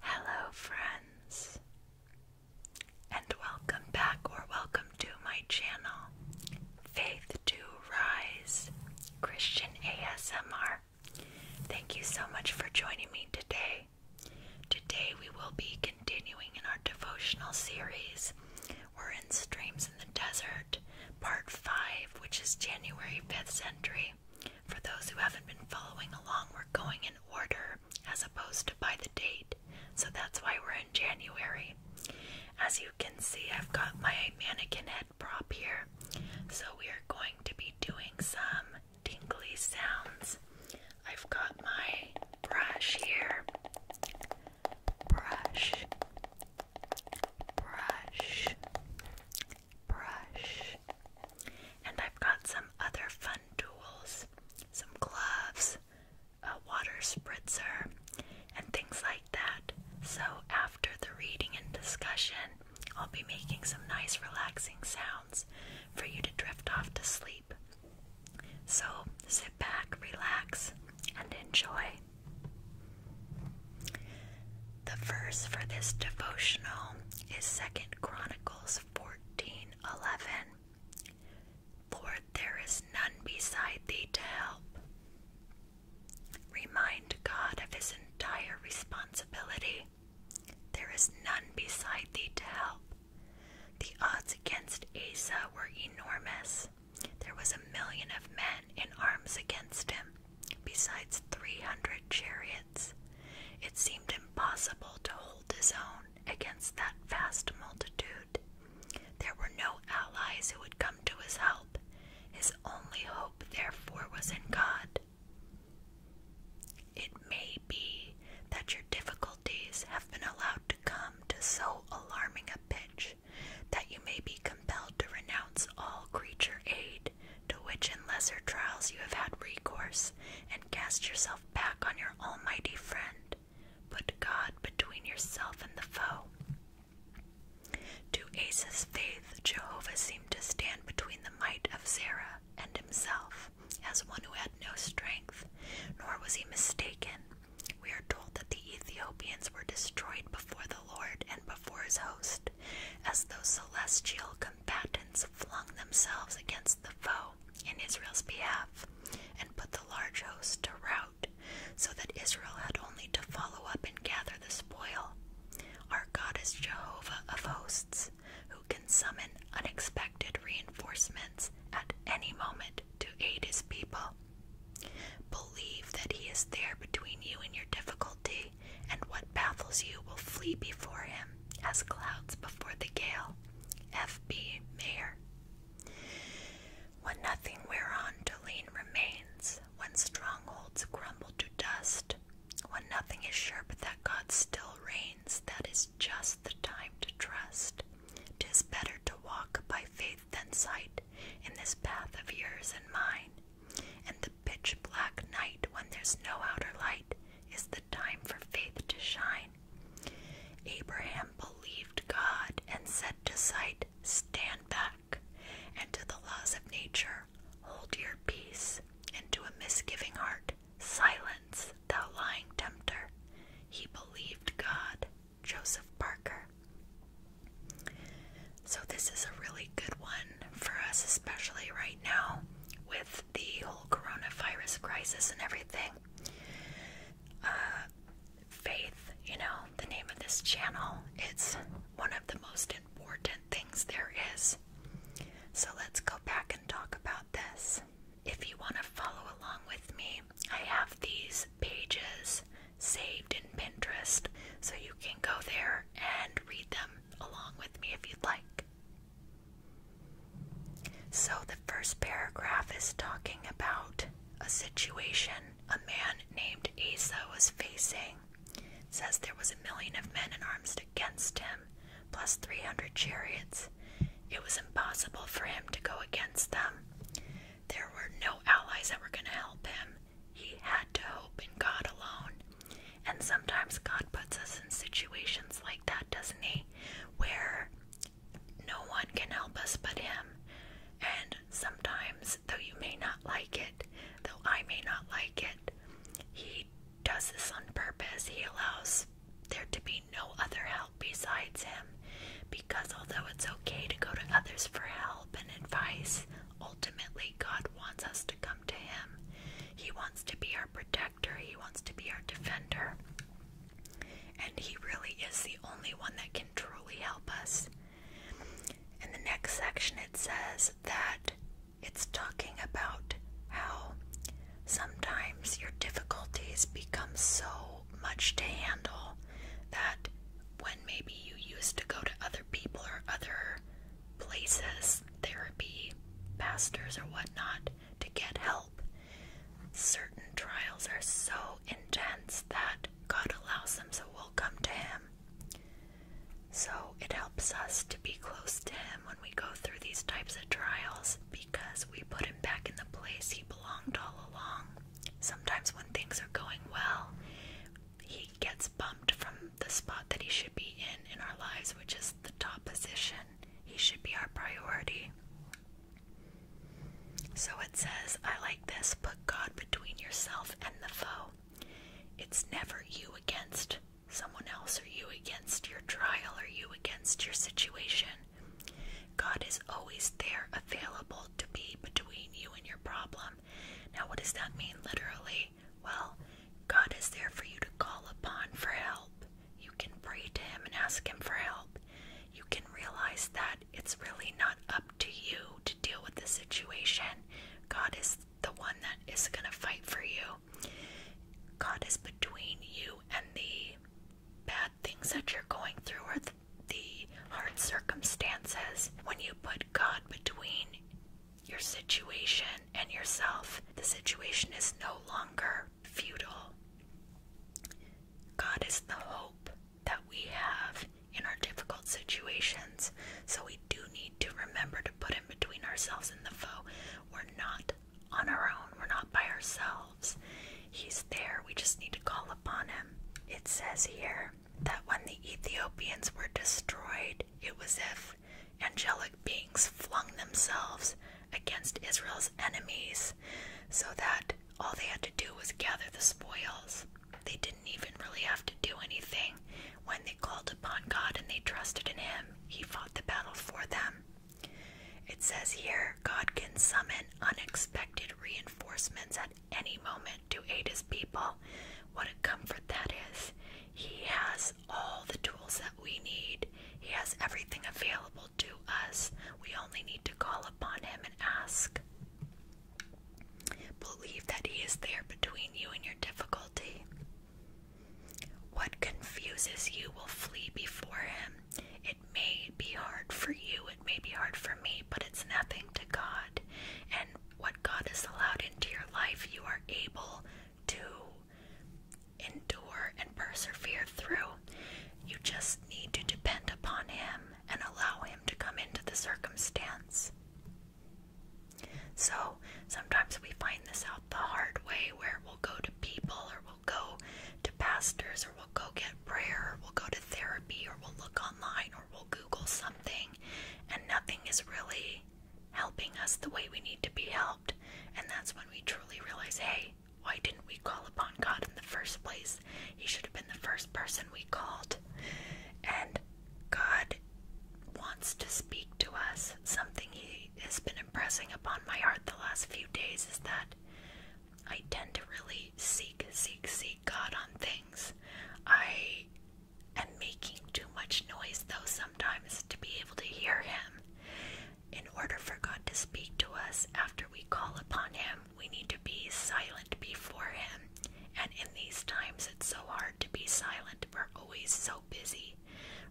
Hello, friends, and welcome back or welcome to my channel, Faith to Rise Christian ASMR. Thank you so much for joining me today. Today we will be continuing in our devotional series. We're in Streams in the Desert, part 5, which is January 5th century. For those who haven't been following along, we're going in order as opposed to by the date, so that's why we're in January. As you can see, I've got my mannequin head prop here, so we are going to be doing some tingly sounds. I've got my brush here. Brush, brush, brush. And I've got some other fun tools, some gloves, a water spritzer, and things like that. So, after the reading and discussion, I'll be making some nice relaxing sounds for you to drift off to sleep. So sit back, relax, and enjoy. The verse for this devotional is Second Chronicles 14:11. For there is none beside thee to help. Remind God of his entire responsibility there is none beside thee to help. The odds against Asa were enormous. There was a million of men in arms against him, besides three hundred chariots. It seemed impossible to hold his own against that vast multitude. There were no allies who would come to his help. His only hope, therefore, was in God. It may be that your difficulty cruelties have been allowed to come to so alarming a pitch that you may be compelled to renounce all creature aid to which in lesser trials you have had recourse and cast yourself back on your almighty friend. Put God between yourself and the foe. To Asa's faith, Jehovah seemed to stand between the might of Zerah and himself as one who had no strength, nor was he mistaken. We are told that the Ethiopians were destroyed before the Lord and before his host, as those celestial combatants flung themselves against the foe in Israel's behalf and put the large host to rout, so that Israel had only to follow up and gather the spoil. Our God is Jehovah of hosts who can summon unexpected reinforcements at any moment to aid his people. Believe that he is there between you and your difficulty, and what baffles you will flee before him as clouds before the gale. F.B. Mayer. When nothing whereon to lean remains, when strongholds crumble to dust, when nothing is sure but that God still reigns, that is just the time to trust, 'tis better to walk by faith than sight in this path of yours and mine. And the pitch black night, when there's no outer light, is the time for faith to shine. Abraham believed God and said to sight, Stand back, and to the laws of nature, hold your peace, and to a misgiving heart, Silence, thou lying tempter. He believed God. Joseph Parker. So, this is a really good one for us, especially right now with the whole coronavirus crisis and everything. Uh, faith, you know, the name of this channel, it's one of the most important things there is. So, let's go back and talk about this. If you want to follow along with me, I have these pages saved in Pinterest, so you can go there and read them along with me if you'd like. So, the first paragraph is talking about a situation a man named Asa was facing. says there was a million of men in arms against him, plus 300 chariots, it was impossible for him to go against them. There were no allies that were going to help him. He had to hope in God alone. And sometimes God puts us in situations like that, doesn't He? Where no one can help us but Him. And sometimes, though you may not like it, though I may not like it, He does this on purpose. He allows there to be no other help besides him, because although it's okay to go to others for help and advice, ultimately God wants us to come to him. He wants to be our protector, He wants to be our defender. And He really is the only one that can truly help us. In the next section, it says that it's talking about how Sometimes your difficulties become so much to handle that when maybe you used to go to other people or other places, therapy, pastors, or whatnot, to get help, certain trials are so intense that God allows them so we'll come to Him. So it helps us to be close to Him when we go through these types of trials because we put him back in the place he belonged all along. Sometimes, when things are going well, he gets bumped from the spot that he should be in in our lives, which is the top position. He should be our priority. So it says, I like this put God between yourself and the foe. It's never you against someone else, or you against your trial, or you against your situation. God is always there, available to be between you and your problem. Now, what does that mean literally? Well, God is there for you to call upon for help. You can pray to Him and ask Him for help. You can realize that it's really not up to you to deal with the situation. God is the one that is going to fight for you. God is between you and me bad things that you're going through or the, the hard circumstances, when you put God between your situation and yourself, the situation is no longer futile. God is the hope that we have in our difficult situations, so we do need to remember to put Him between ourselves and the foe. We're not on our own. We're not by ourselves. He's there. We just need to call upon him. It says here that when the Ethiopians were destroyed, it was if angelic beings flung themselves against Israel's enemies so that all they had to do was gather the spoils. They didn't even really have to do anything. When they called upon God and they trusted in Him, He fought the battle for them. It says here God can summon unexpected reinforcements at any moment to aid his people. What a comfort that is. He has all the tools that we need, He has everything available to us. We only need to call upon Him and ask. Believe that He is there between you and your difficulty. What confuses you will flee before Him. It may be hard for you, it may be hard for me, but it's nothing to God. And what God has allowed into your life, you are able to endure and persevere through. You just need to depend upon Him and allow Him to come into the circumstance. So sometimes we find this out the hard way where we'll go to people or we'll go to pastors we'll go get prayer, we'll go to therapy, or we'll look online, or we'll Google something, and nothing is really helping us the way we need to be helped. And that's when we truly realize hey, why didn't we call upon God in the first place? He should have been the first person we called. And God wants to speak to us. Something He has been impressing upon my heart the last few days is that I tend to really seek, seek, seek God on things. I am making too much noise, though, sometimes to be able to hear Him. In order for God to speak to us after we call upon Him, we need to be silent before Him. And in these times, it's so hard to be silent. We're always so busy.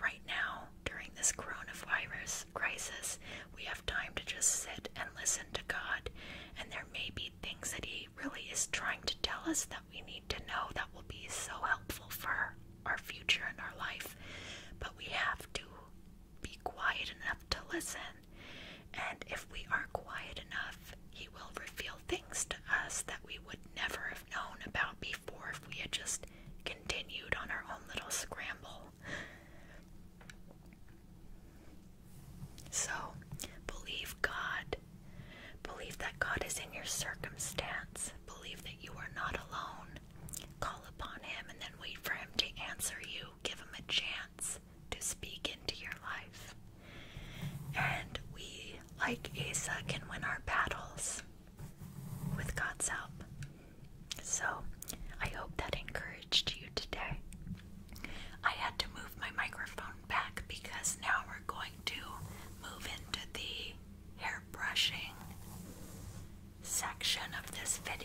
Right now, during this coronavirus crisis, we have time to just sit and listen to God. And there may be things that He really is trying to tell us that we need to know that will be so helpful for our future and our life. But we have to be quiet enough to listen. And if we are quiet enough, He will reveal things to us that we would never have known about before if we had just continued on our own little scramble. So, believe God. Believe that God is in your circumstance. Believe that you are not alone. Call upon Him and then wait for Him to answer you. Give Him a chance to speak into your life. And we, like Asa, can win our battles with God's help. So, I hope that encouraged you today. I had to move my microphone back because now we're going to move into the hair brushing section of this video.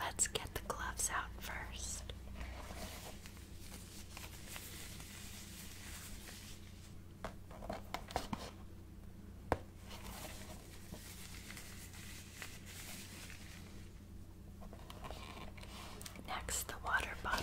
Let's get the gloves out first. Next, the water bottle.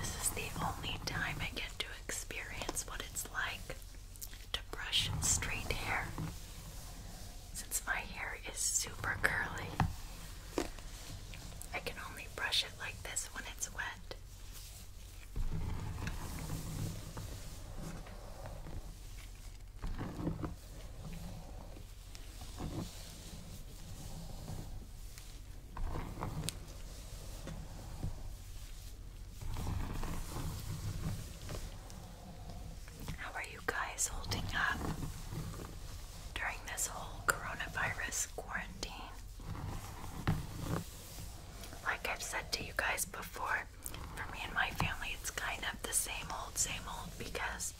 This is the only time I get to experience what it's like to brush straight hair since my hair is super curly. I can only brush it like this when it's wet. How are you guys holding up during this whole coronavirus quarantine? Like I've said to you guys before, for me and my family, it's kind of the same old, same old because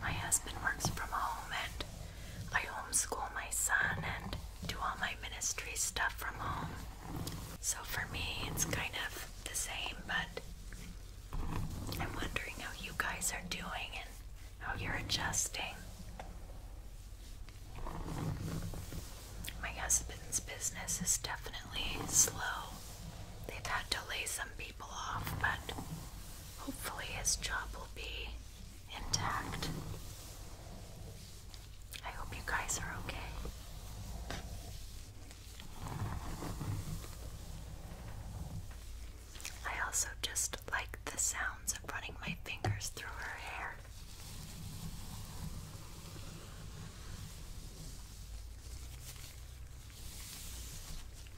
my husband works from home, and I homeschool my son and do all my ministry stuff from home. So for me, it's kind of the same, but I'm wondering how you guys are doing and how you're adjusting. My husband's business is definitely slow they've had to lay some people off, but hopefully his job will be intact. I hope you guys are okay. I also just like the sounds of running my fingers through her hair.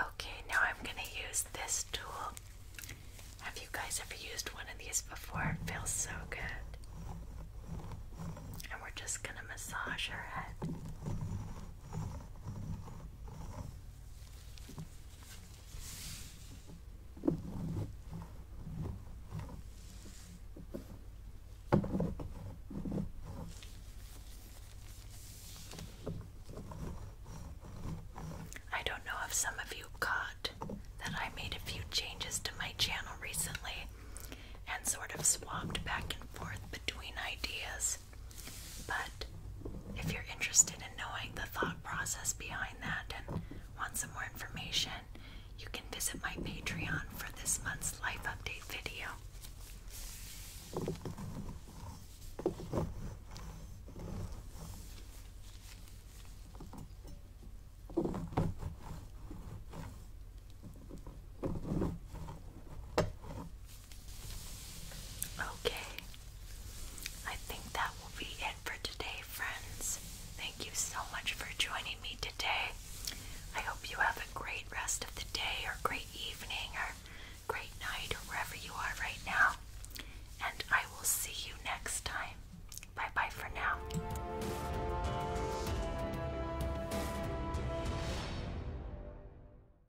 Okay, now I'm going to use this tool. Have you guys ever used one of these before? It feels so good. And we're just going to massage her head. I don't know if some of you caught that I made a few changes to my channel recently and sort of swapped back and forth between ideas. But if you're interested in knowing the thought process behind that and want some more information, you can visit my Patreon for this month's life update video. Okay. I think that will be it for today, friends. Thank you so much for joining me today. I hope you have a great rest of the day, or great evening, or great night, or wherever you are right now. And I will see you next time. Bye bye for now.